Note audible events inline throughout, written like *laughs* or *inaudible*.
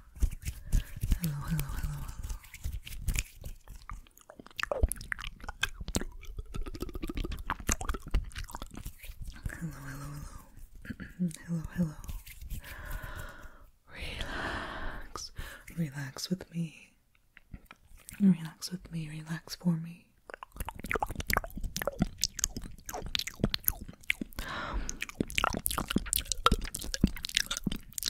Hello, hello, hello, hello. Hello, hello, Relax. Relax with me. Relax with me. Relax for me.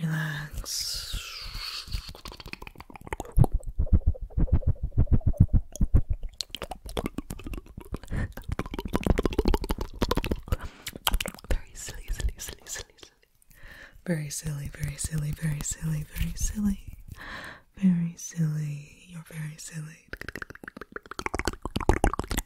relax, Very silly, silly, silly, silly, silly. Very silly, very silly, very silly, very silly. Very silly. You're very silly.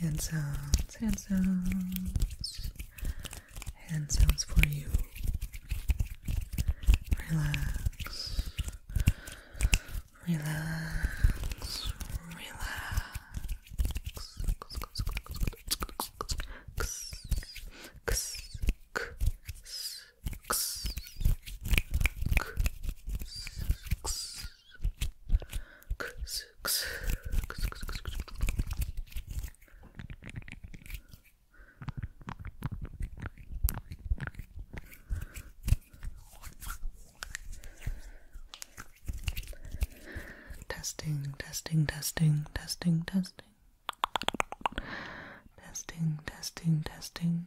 Hand sounds, hand sounds, hand sounds for you. Relax, relax, relax. Testing, testing, testing, testing, testing. Testing, testing, testing.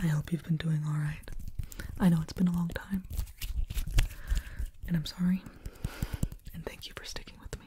I hope you've been doing alright. I know it's been a long time. And I'm sorry. And thank you for sticking with me.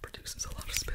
Produces a lot of spit.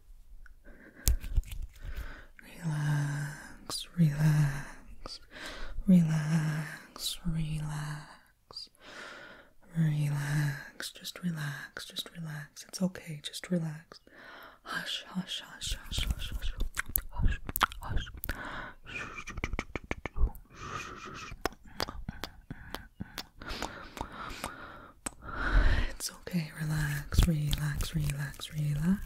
Relax, relax, relax, relax, relax, just relax, just relax. It's okay, just relax. Hush, hush, hush, hush, hush, hush, hush, hush. It's it's okay. Relax, relax, relax, relax.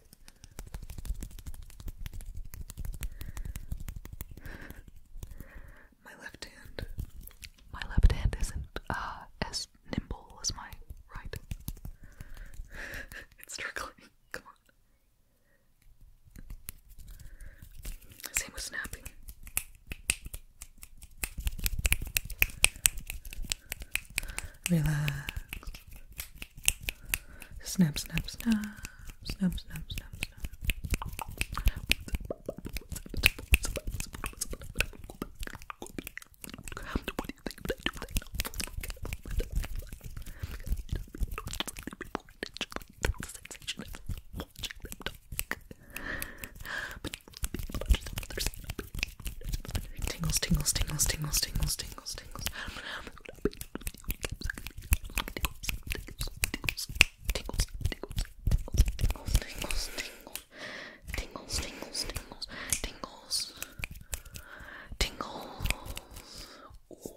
*laughs* my left hand, my left hand isn't uh, as nimble as my right. *laughs* it's trickling. Come on. Same with snapping. Relax. Snap, snap, snap, snap, snap, snap, snap. Tingles, tingles, tingles, tingles, tingles, tingles, tingles tingles, tingles, tingles, tingles, tingles. Ooh.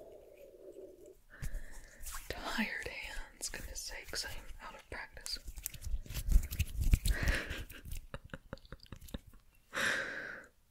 Tired hands, goodness sakes, I'm out of practice. *laughs*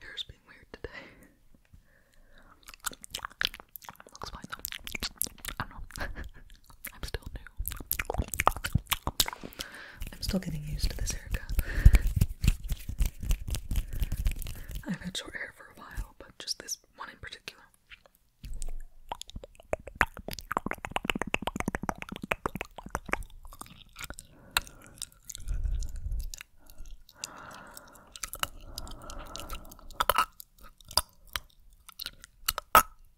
Hair's being weird today. Looks fine though. I don't know. *laughs* I'm still new. I'm still getting used to this haircut. I've had short hair for a while, but just this one in particular.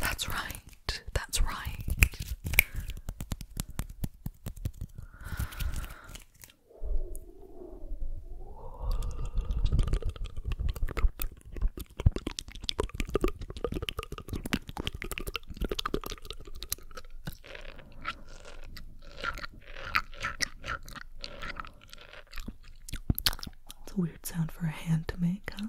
That's right. That's right. It's a weird sound for a hand to make, huh?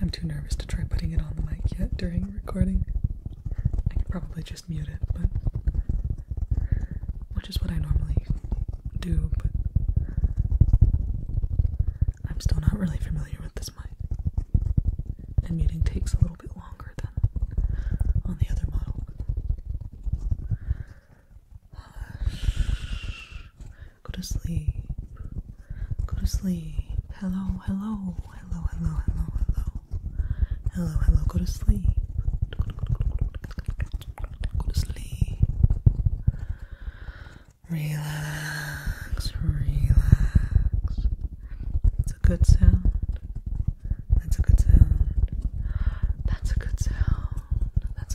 I'm too nervous to try putting it on the mic yet during recording. I could probably just mute it, but which is what I normally do, but I'm still not really familiar with this mic. And muting takes a little bit longer than on the other model. Go to sleep. Go to sleep. Hello, hello, hello, hello, hello, hello. Hello, hello, go to sleep. Go to sleep. Relax, relax. It's a good sound. That's a good sound. That's a good sound. That's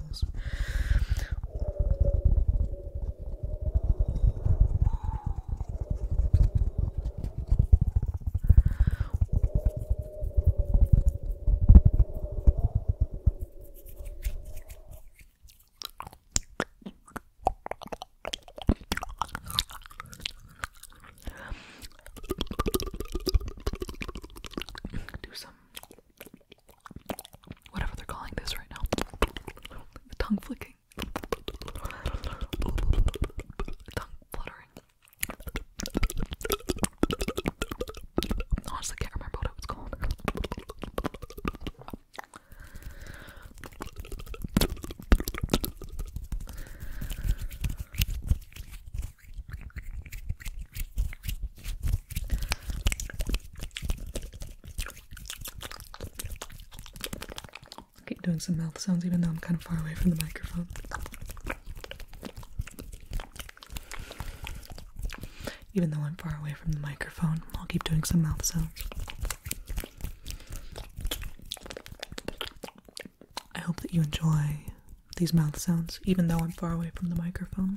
tingles. Do some whatever they're calling this right now. tongue flicking. Tongue fluttering. Honestly, can't remember what it was called. I'll keep doing some mouth sounds even though I'm kind of far away from the microphone. Even though I'm far away from the microphone, I'll keep doing some mouth sounds. I hope that you enjoy these mouth sounds, even though I'm far away from the microphone.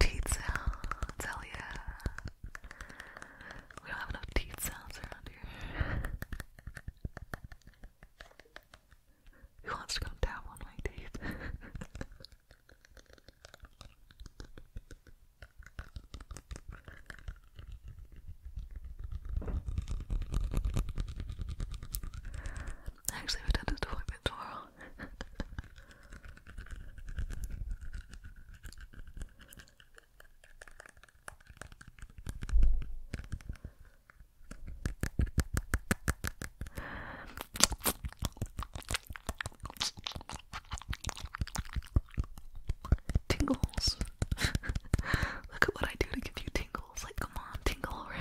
Teeth sounds, hell yeah. We don't have enough teeth sounds around here. Who wants to come tap on my teeth? *laughs* Actually, I have a dentist appointment tomorrow. *laughs* Tingles. *laughs* Look at what I do to give you tingles. Like, come on, tingle. *laughs*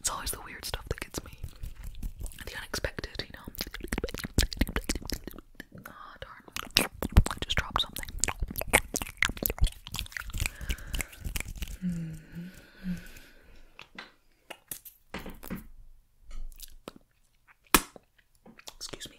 It's always the weird stuff that gets me. The unexpected, you know. Ah, darn. I just dropped something. Excuse me.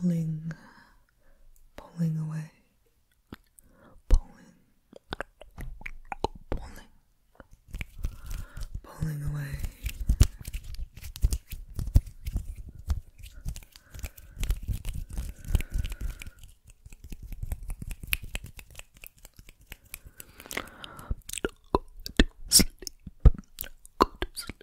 Pulling pulling away, pulling, pulling, pulling away. Go to sleep. Go to sleep.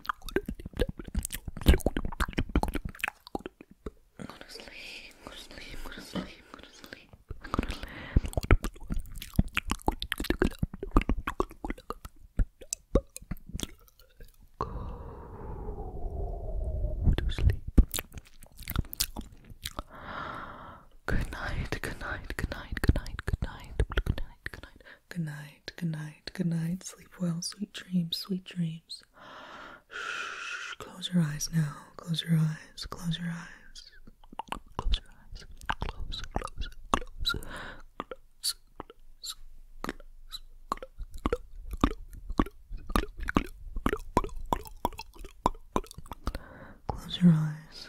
I'm gonna sleep, I'm gonna sleep, I'm gonna sleep, I'm gonna sleep. I'm gonna sleep. Go to sleep. Good night, good night, good night, good night, good night, good night, good night, good night good night, good night. Sleep well, sweet dreams, sweet dreams. Shh, close your eyes now. Close your eyes, close your eyes. Close your eyes. Close, close, close. Close, close, close, close, close, close, close, close, close your eyes.